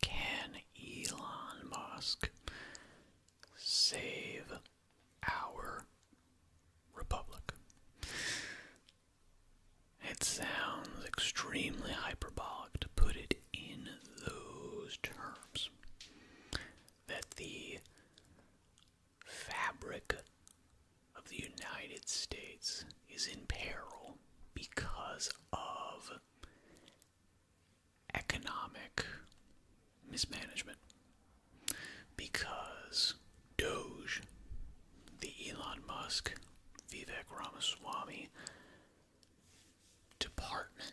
Can Elon Musk save our republic? It sounds extremely hyperbolic to put it in those terms. That the fabric of the United States is in peril because of economic mismanagement because Doge, the Elon Musk, Vivek Ramaswamy department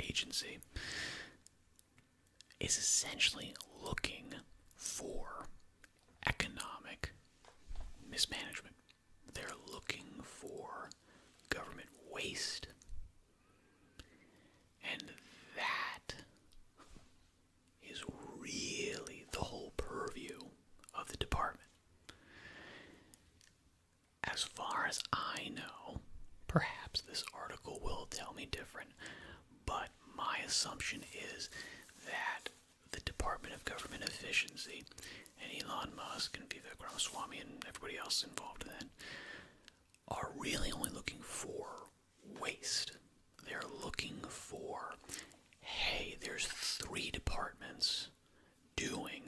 agency is essentially looking for economic mismanagement. They're looking for government waste. And that is really the whole purview of the department. As far as I know, perhaps this article will tell me different, but my assumption is that the Department of Government Efficiency and Elon Musk and Vivek Ramaswamy and everybody else involved in that are really only looking for waste. They're looking for, hey, there's three departments doing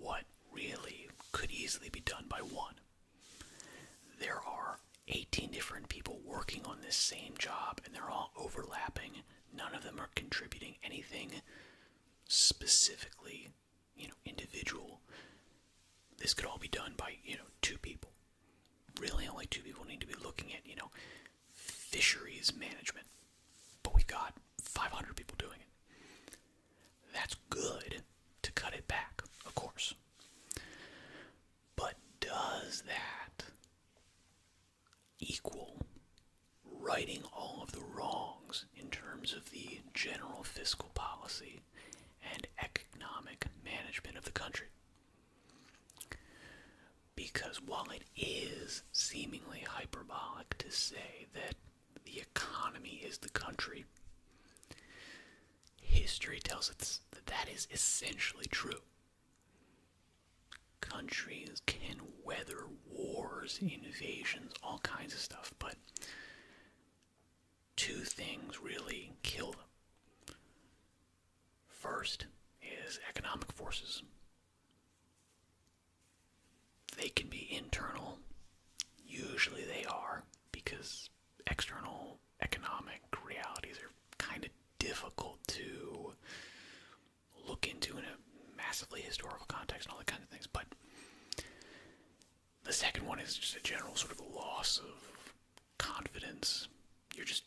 what really could easily be done by one. There are 18 different people working on this same job and they're all overlapping. None of them are contributing anything specifically, you know, individual. This could all be done by, you know, two people. Really, only two people need to be looking at, you know, fisheries management. But we've got 500 people doing it. That's good to cut it back, of course. But does that equal, righting all of the wrongs in terms of the general fiscal policy and economic management of the country. Because while it is seemingly hyperbolic to say that the economy is the country, history tells us that that is essentially true countries can weather wars, invasions, all kinds of stuff, but two things really kill them. First is economic forces. They can be internal, usually they are, because external economic realities are kind of difficult to look into in a massively historical context and all that kind of things. But the second one is just a general sort of loss of confidence. You're just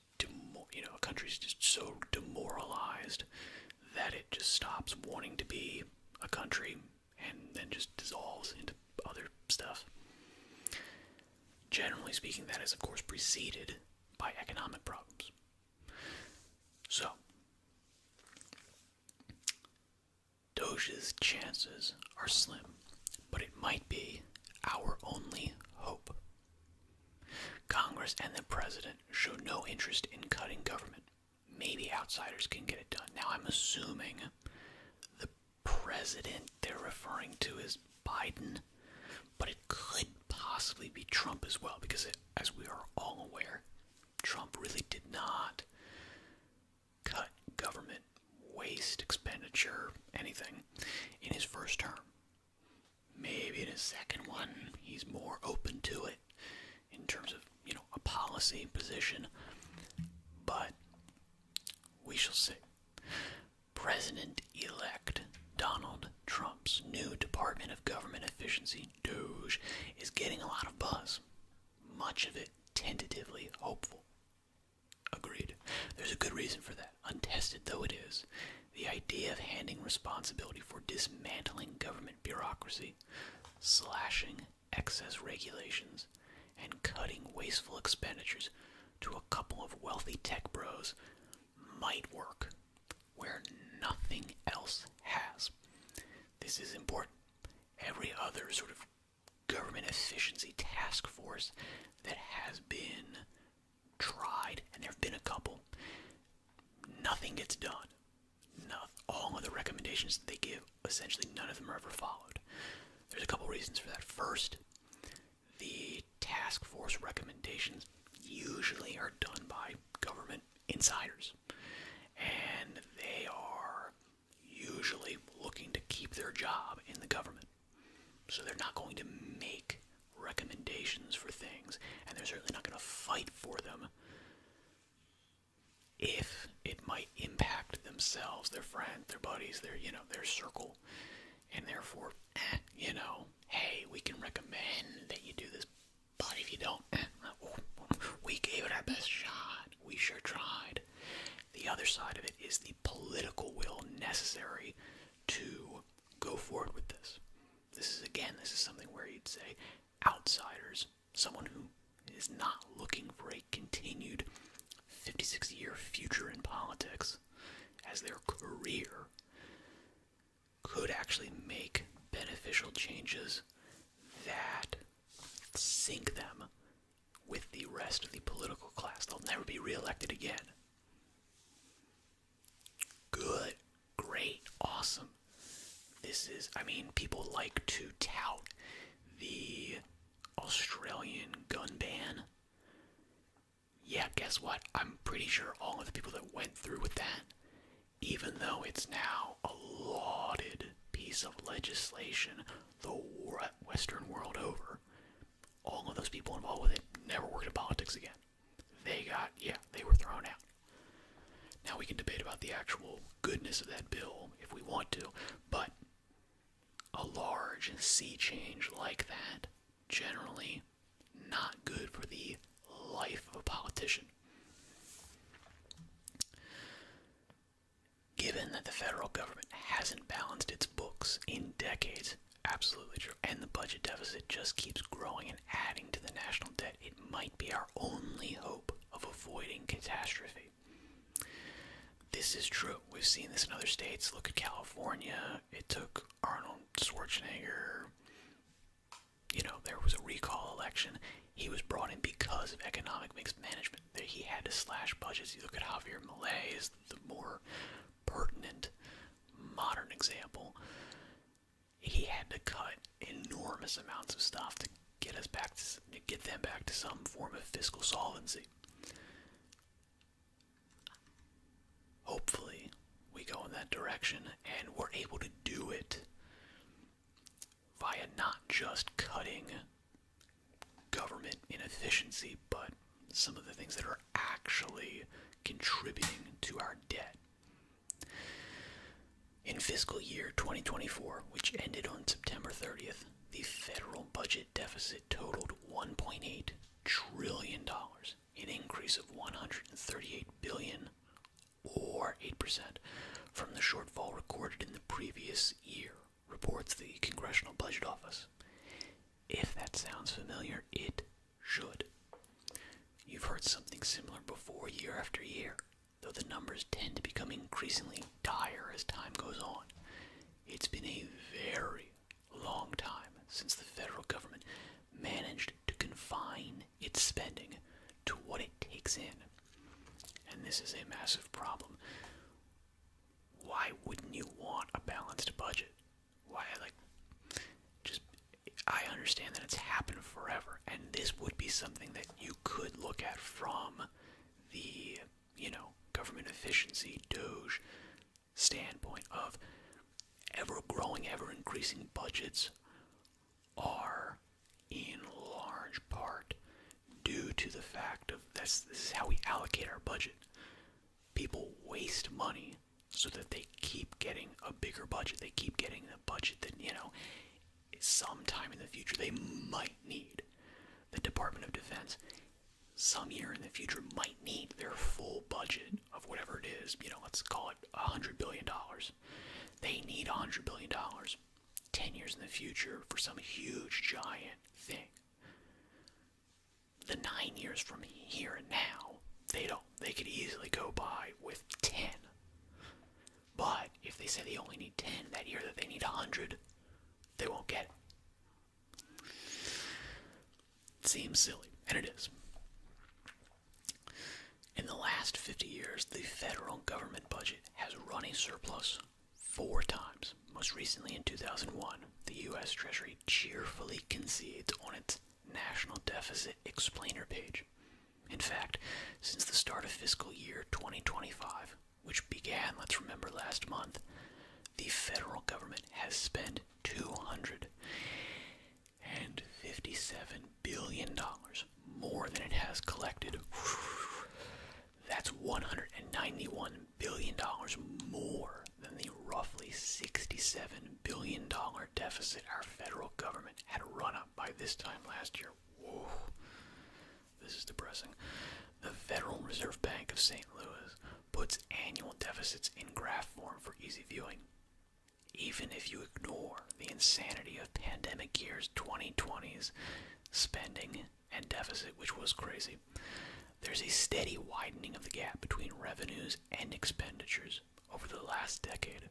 you know a country's just so demoralized that it just stops wanting to be a country and then just dissolves into other stuff. Generally speaking, that is of course preceded by economic problems. So, Doge's chances are slim, but it might be our only hope. Congress and the president show no interest in cutting government. Maybe outsiders can get it done. Now, I'm assuming the president they're referring to is Biden, but it could possibly be Trump as well, because it, as we are all aware, Trump really did not cut government waste, expenditure, anything in his first term. Maybe in his second one, he's more open to it in terms of, you know, a policy position. But we shall see. President elect Donald Trump's new Department of Government Efficiency, DOGE, is getting a lot of buzz, much of it tentatively hopeful. Agreed. There's a good reason for that, untested though it is. The idea of handing responsibility for dismantling government bureaucracy, slashing excess regulations, and cutting wasteful expenditures to a couple of wealthy tech bros might work where nothing else has. This is important. Every other sort of government efficiency task force that has been tried, and there have been a couple, nothing gets done. All of the recommendations that they give, essentially none of them are ever followed. There's a couple reasons for that. First, the task force recommendations usually are done by government insiders. And they are usually looking to keep their job in the government. So they're not going to make recommendations for things, and they're certainly not going to fight for them if it might impact themselves, their friends, their buddies, their you know, their circle. And therefore, eh, you know, hey, we can recommend that you do this but if you don't, we gave it our best shot. We sure tried. The other side of it is the political will necessary to go forward with this. This is, again, this is something where you'd say outsiders, someone who is not looking for a continued 56 year future in politics as their career, could actually make beneficial changes that sink them with the rest of the political class. They'll never be reelected again. Good, great, awesome. This is, I mean, people like to tout the Australian gun ban yeah, guess what? I'm pretty sure all of the people that went through with that, even though it's now a lauded piece of legislation the Western world over, all of those people involved with it never worked in politics again. They got, yeah, they were thrown out. Now we can debate about the actual goodness of that bill if we want to, but a large sea change like that generally not good for the life of a politician. Given that the federal government hasn't balanced its books in decades, absolutely and the budget deficit just keeps growing and adding to the national debt, it might be our only hope of avoiding catastrophe. This is true. We've seen this in other states. Look at California. It took Arnold Schwarzenegger you know, there was a recall election. He was brought in because of economic mismanagement. That he had to slash budgets. You look at Javier Milei is the more pertinent modern example. He had to cut enormous amounts of stuff to get us back to, to get them back to some form of fiscal solvency hopefully we go in that direction and we're able to do it via not just cutting government inefficiency, but some of the things that are actually contributing to our debt. In fiscal year 2024, which ended on September 30th, the federal budget deficit totaled $1.8 trillion, an increase of 138 billion or 8% from the shortfall recorded in the previous year, reports the Congressional Budget Office. If that sounds familiar, it should. You've heard something similar before year after year, though the numbers tend to become increasingly dire as time goes on. It's been a very long time since the federal government managed to confine its spending to what it takes in. And this is a massive problem. Why wouldn't you want a balanced budget? Why, like, just, I understand that it's happened forever, and this would be something that you could look at from the, you know, government efficiency, DOGE, standpoint of ever growing, ever increasing budgets are in large part due to the fact of this, this is how we allocate our budget. People waste money so that they keep getting a bigger budget. They keep getting the budget that, you know, sometime in the future they might need. The Department of Defense, some year in the future, might need their full budget of whatever it is, you know, let's call it a hundred billion dollars. They need a hundred billion dollars 10 years in the future for some huge giant thing. The nine years from here and now, they don't they could easily go by with 10. But if they say they only need 10 that year that they need a 100, they won't get Seems silly, and it is. In the last 50 years, the federal government budget has run a surplus four times. Most recently in 2001, the U.S. Treasury cheerfully concedes on its national deficit explainer page. In fact, since the start of fiscal year 2025, which began, let's remember, last month, the federal government has spent 200 and 57 billion dollars more than it has collected. That's 191 billion dollars more than the roughly 67 billion dollar deficit our federal government had run up by this time last year. This is depressing. The Federal Reserve Bank of St. Louis puts annual deficits in graph form for easy viewing. Even if you ignore the insanity of pandemic years 2020's spending and deficit, which was crazy, there's a steady widening of the gap between revenues and expenditures over the last decade.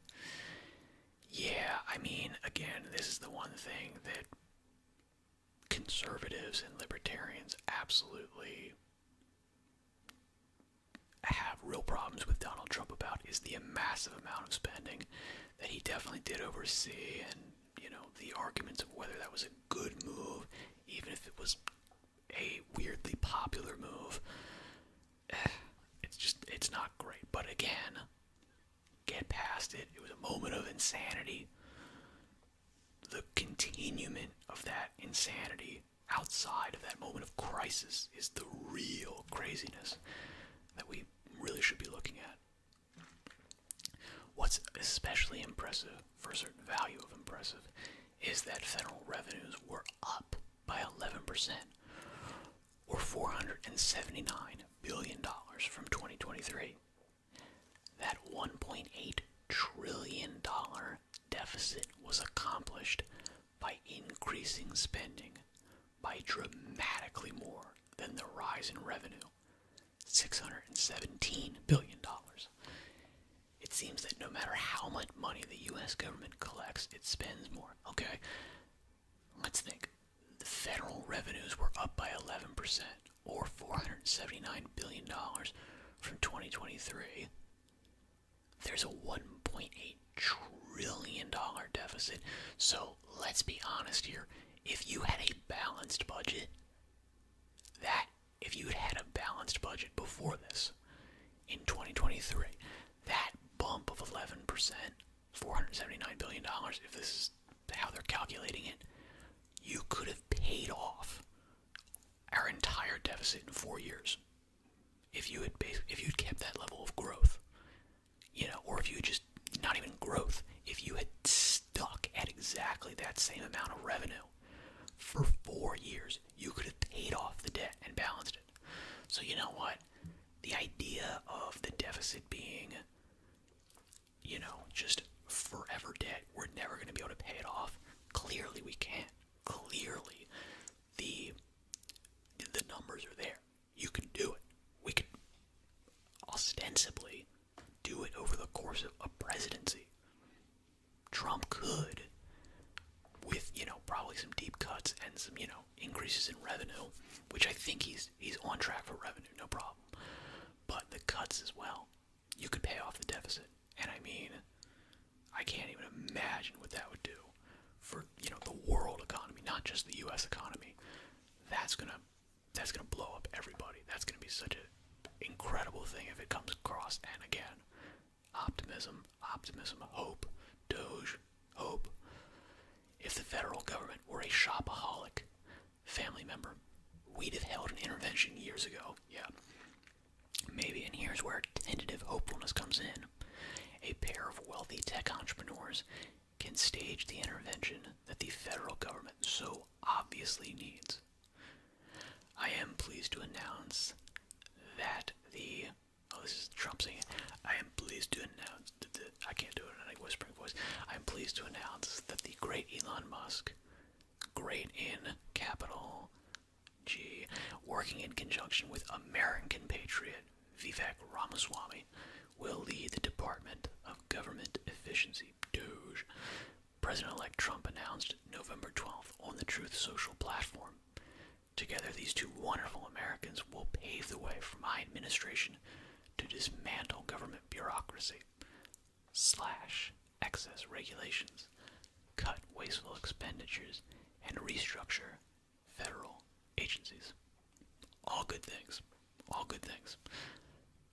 Yeah, I mean, again, this is the one thing that conservatives and libertarians absolutely have real problems with Donald Trump about is the massive amount of spending that he definitely did oversee, and you know the arguments of whether that was a good move, even if it was a weirdly popular move. Eh, it's just it's not great. But again, get past it. It was a moment of insanity. The continuement of that insanity outside of that moment of crisis is the real craziness that we really should be looking at. What's especially impressive, for a certain value of impressive, is that federal revenues were up by 11%, or $479 billion from 2023. That $1.8 trillion deficit was accomplished by increasing spending by dramatically more than the rise in revenue $617 billion. It seems that no matter how much money the US government collects, it spends more. Okay, let's think. The federal revenues were up by 11%, or $479 billion from 2023 there's a 1.8 trillion dollar deficit. So let's be honest here. If you had a balanced budget, that if you had a balanced budget before this in 2023, that bump of 11%, 479 billion dollars, if this is how they're calculating it, you could have paid off our entire deficit in four years if you had if you'd kept that level of growth, you know, or if you just not even growth, if you had stuck at exactly that same amount of revenue for four years, you could have paid off the debt and balanced it. So you know what? The idea of the deficit being, you know, just forever debt, we're never going to be able to pay it off. Clearly, we can't clearly the the numbers are there. You can do it. We could ostensibly do it over the course of a presidency. Trump could, with you know probably some deep cuts and some you know increases in revenue, which I think he's he's on track for revenue, no problem. But the cuts as well you could pay off the deficit. And I mean, I can't even imagine what that would do for you know the world economy, not just the U.S. economy. That's gonna that's gonna blow up everybody. That's gonna be such an incredible thing if it comes across. And again, optimism, optimism, hope, Doge, hope. If the federal government were a shopaholic family member, we'd have held an intervention years ago. Yeah, Maybe, and here's where tentative hopefulness comes in. A pair of wealthy tech entrepreneurs can stage the intervention that the federal government so obviously needs. I am pleased to announce that the oh this is Trump saying it. I am pleased to announce I can't do it in whispering voice. I am pleased to announce that the great Elon Musk, great in capital, G, working in conjunction with American patriot Vivek Ramaswamy, will lead the Department of Government Efficiency, DOGE. President-elect Trump announced November 12th on the Truth Social platform. Together, these two wonderful Americans will pave the way for my administration to dismantle government bureaucracy. Slash excess regulations, cut wasteful expenditures, and restructure federal agencies. All good things. All good things.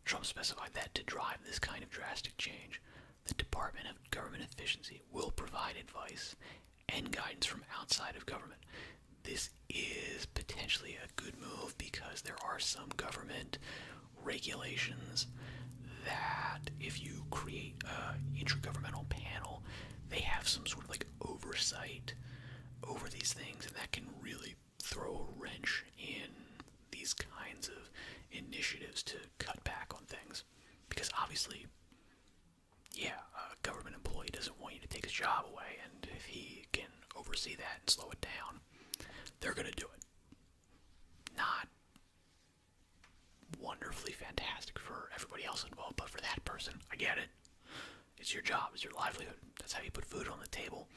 Trump specified that to drive this kind of drastic change, the Department of Government Efficiency will provide advice and guidance from outside of government. This is potentially a good move because there are some government regulations that if you create an intergovernmental panel, they have some sort of like oversight over these things, and that can really throw a wrench in these kinds of initiatives to cut back on things. Because obviously, yeah, a government employee doesn't want you to take his job away, and if he can oversee that and slow it down, they're going to do it. Not wonderfully fantastic for everybody else involved, but for that person, I get it. It's your job, it's your livelihood. That's how you put food on the table.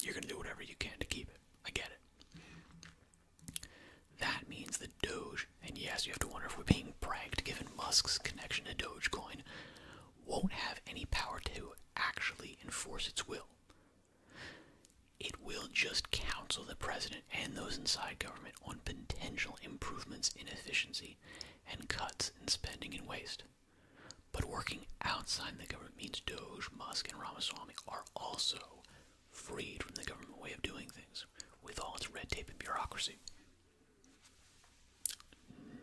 You're going to do whatever you can to keep it. I get it. That means the Doge, and yes, you have to wonder if we're being pranked given Musk's connection to Dogecoin, won't have any power to actually enforce its will. It will just counsel the president and those inside government on potential improvements in efficiency and cuts in spending and waste. But working outside the government means Doge, Musk, and Ramaswamy are also freed from the government way of doing things, with all its red tape and bureaucracy.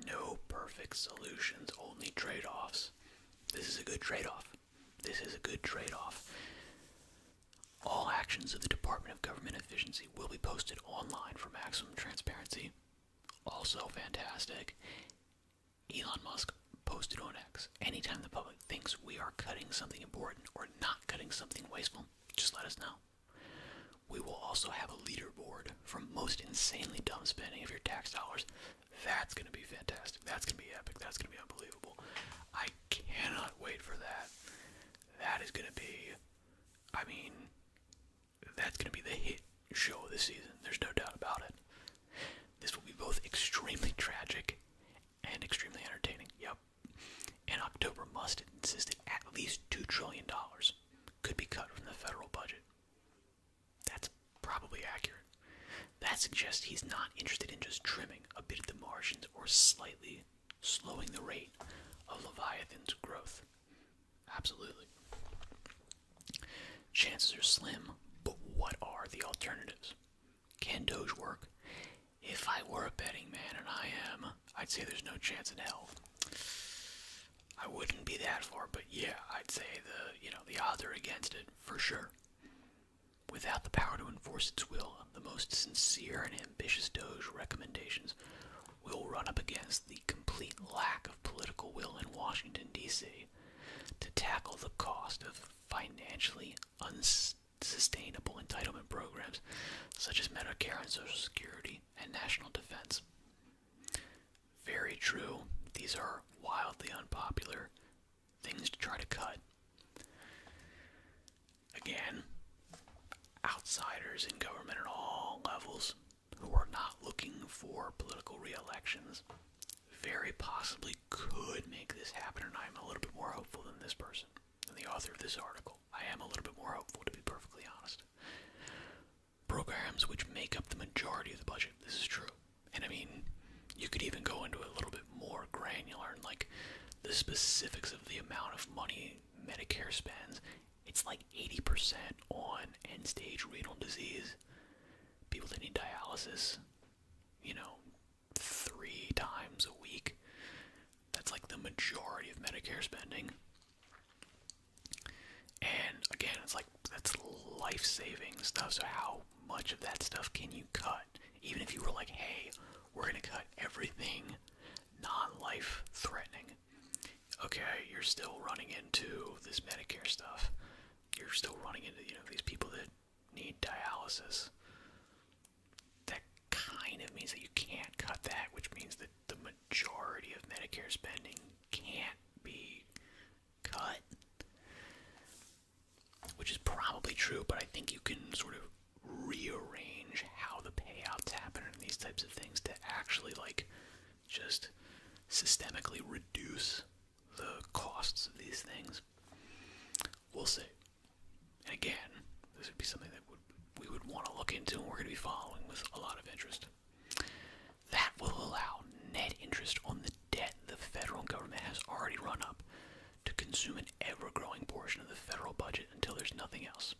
No perfect solutions, only trade offs. This is a good trade off. This is a good trade off. All actions of the Department of Government Efficiency will be posted online for maximum transparency. Also fantastic. Elon Musk posted on X. Anytime the public thinks we are cutting something important or not cutting something wasteful, just let us know. We will also have a leaderboard for most insanely dumb spending of your tax dollars. That's going to be fantastic. That's going to be epic. That's going to be unbelievable. I cannot wait for that. That is gonna be, I mean, that's gonna be the hit show this season. There's no doubt about it. This will be both extremely tragic and extremely entertaining. Yep. And October must insist at least two trillion dollars could be cut from the federal budget. That's probably accurate. That suggests he's not interested in just trimming a bit of the margins or slightly slowing the rate of Leviathan's growth. Absolutely. Chances are slim, but what are the alternatives? Can Doge work? If I were a betting man, and I am, I'd say there's no chance in hell. I wouldn't be that far, but yeah, I'd say the you know the odds are against it for sure. Without the power to enforce its will, the most sincere and ambitious Doge recommendations will run up against the complete lack of political will in Washington, D.C. to tackle the cost of financially unsustainable entitlement programs such as Medicare and Social Security and national defense. Very true, these are wildly unpopular things to try to cut. Again, outsiders in government at all levels who are not looking for political re-elections very possibly could make this happen, and I'm a little bit more hopeful than this person, than the author of this article. I am a little bit more hopeful, to be perfectly honest. Programs which make up the majority of the budget, this is true, and I mean, you could even go into a little bit more granular and like the specifics of the amount of money Medicare spends. It's like 80% on end stage renal disease, people that need dialysis, you know, three times a week. That's like the majority of Medicare spending. And again, it's like that's life saving stuff. So, how much of that stuff can you cut? Even if you were like, hey, we're gonna cut everything non life threatening. Okay, you're still running into this Medicare stuff. You're still running into, you know, these people that need dialysis. That kind of means that you can't cut that, which means that the majority of Medicare spending can't be cut which is probably true, but I think you can sort of rearrange how the payouts happen and these types of things to actually like just systemically reduce the costs of these things. We'll see. And again, this would be something that would, we would want to look into and we're going to be following with a lot of interest. That will allow net interest on the debt the federal government has already run up to consume an ever growing portion of the federal budget until there's nothing else.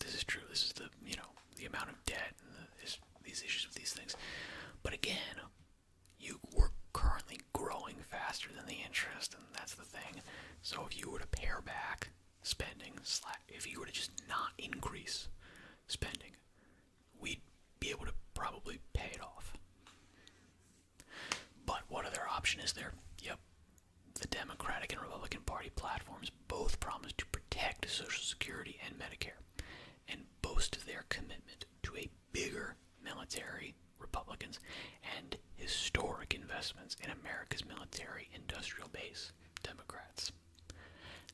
This is true. This is the, you know, the amount of debt and these issues with these things. But again, you were currently growing faster than the interest, and that's the thing. So if you were to pare back spending, if you were to just not increase spending, we'd be able to probably pay it off. But what other option is there? Yep. The Democratic and Republican Party platforms both promise to protect Social Security and Medicare and boast their commitment to a bigger military, Republicans, and historic investments in America's military industrial base, Democrats.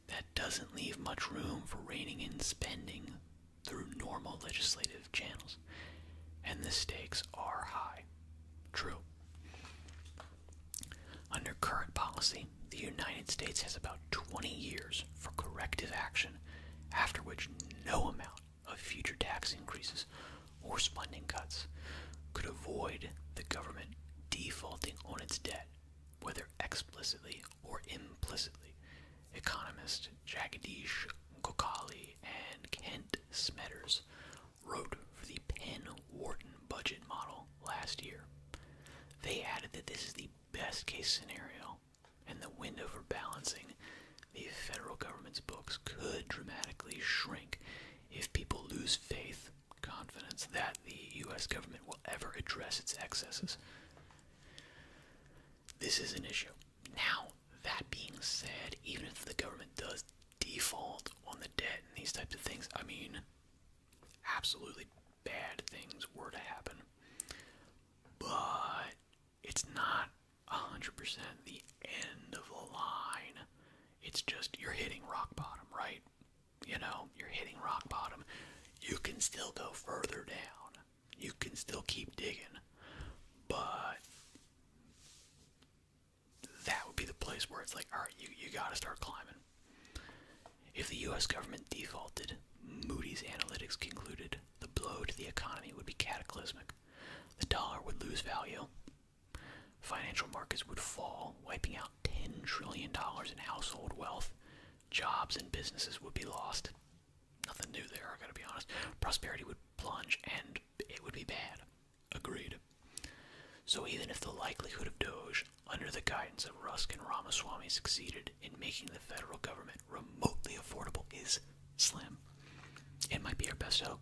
That doesn't leave much room for reining in spending through normal legislative channels, and the stakes are high. True. Under current policy, the United States has about 20 years for corrective action, after which no amount of future tax increases or spending cuts could avoid the government defaulting on its debt, whether explicitly or implicitly, economist Jagadish Kokali and Kent Smetters wrote for the Penn-Wharton budget model last year. They added that this is the best case scenario, and the window for balancing the federal government's books could dramatically shrink if people lose faith, confidence that the U.S. government will ever address its excesses. This is an issue. Now, that being said, even if the government does default on the debt and these types of things, I mean, absolutely bad things were to happen. But it's not 100% the end of the line. It's just you're hitting rock bottom, right? You know, you're hitting rock bottom. You can still go further down you can still keep digging, but that would be the place where it's like, all right, you you gotta start climbing. If the U.S. government defaulted, Moody's Analytics concluded the blow to the economy would be cataclysmic. The dollar would lose value. Financial markets would fall, wiping out $10 trillion in household wealth. Jobs and businesses would be lost. Nothing new there, I gotta be honest. Prosperity would plunge and it would be bad. Agreed. So even if the likelihood of Doge, under the guidance of Rusk and Ramaswamy, succeeded in making the federal government remotely affordable is slim, it might be our best hope.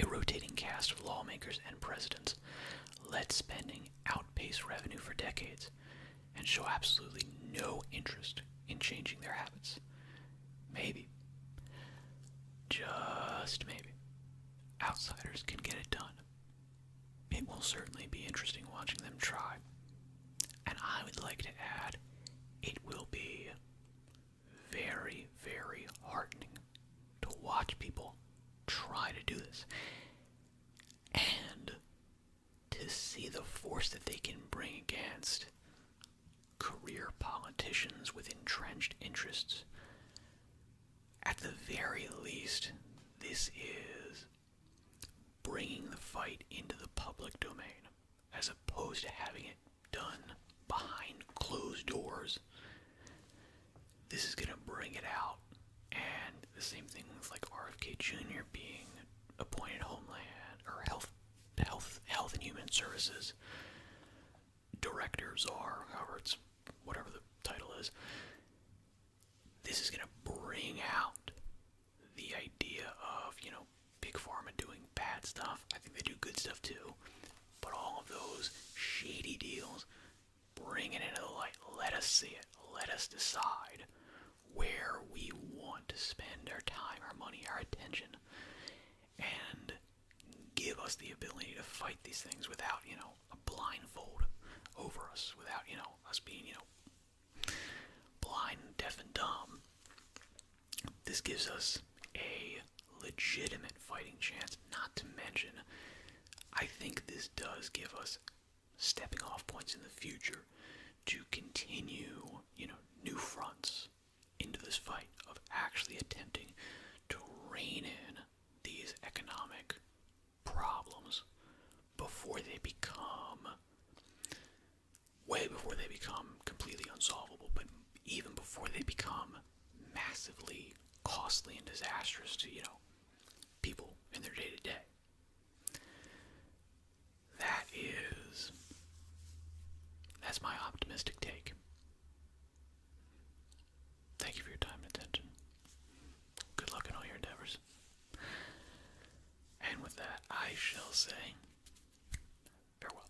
A rotating cast of lawmakers and presidents let spending outpace revenue for decades, and show absolutely no interest in changing their habits. Maybe, just maybe, outsiders can get it done. It will certainly be interesting watching them try. And I would like to add, it will be very, very heartening to watch people try to do this. And to see the force that they can bring against career politicians with entrenched interests. At the very least, this is bringing the fight into the public domain as opposed to having it done behind closed doors. This is going to bring it out. And the same thing with like RFK Jr. being appointed Homeland or Health Health Health and Human Services directors are, however whatever the title is. This is gonna bring out the idea of, you know, big pharma doing bad stuff. I think they do good stuff too. But all of those shady deals, bring it into the light. Let us see it. Let us decide where we want to spend our time, our money, our attention, and give us the ability to fight these things without, you know, a blindfold over us, without, you know, us being, you know, blind, deaf, and dumb. This gives us a legitimate fighting chance, not to mention, I think this does give us stepping off points in the future to continue, you know, new fronts into this fight of actually attempting to rein in these economic problems before they become way before they become completely unsolvable, but even before they become massively costly and disastrous to, you know, people in their day to day. That is. That's my optimistic take. Thank you for your time and attention. Good luck in all your endeavors. And with that, I shall say farewell.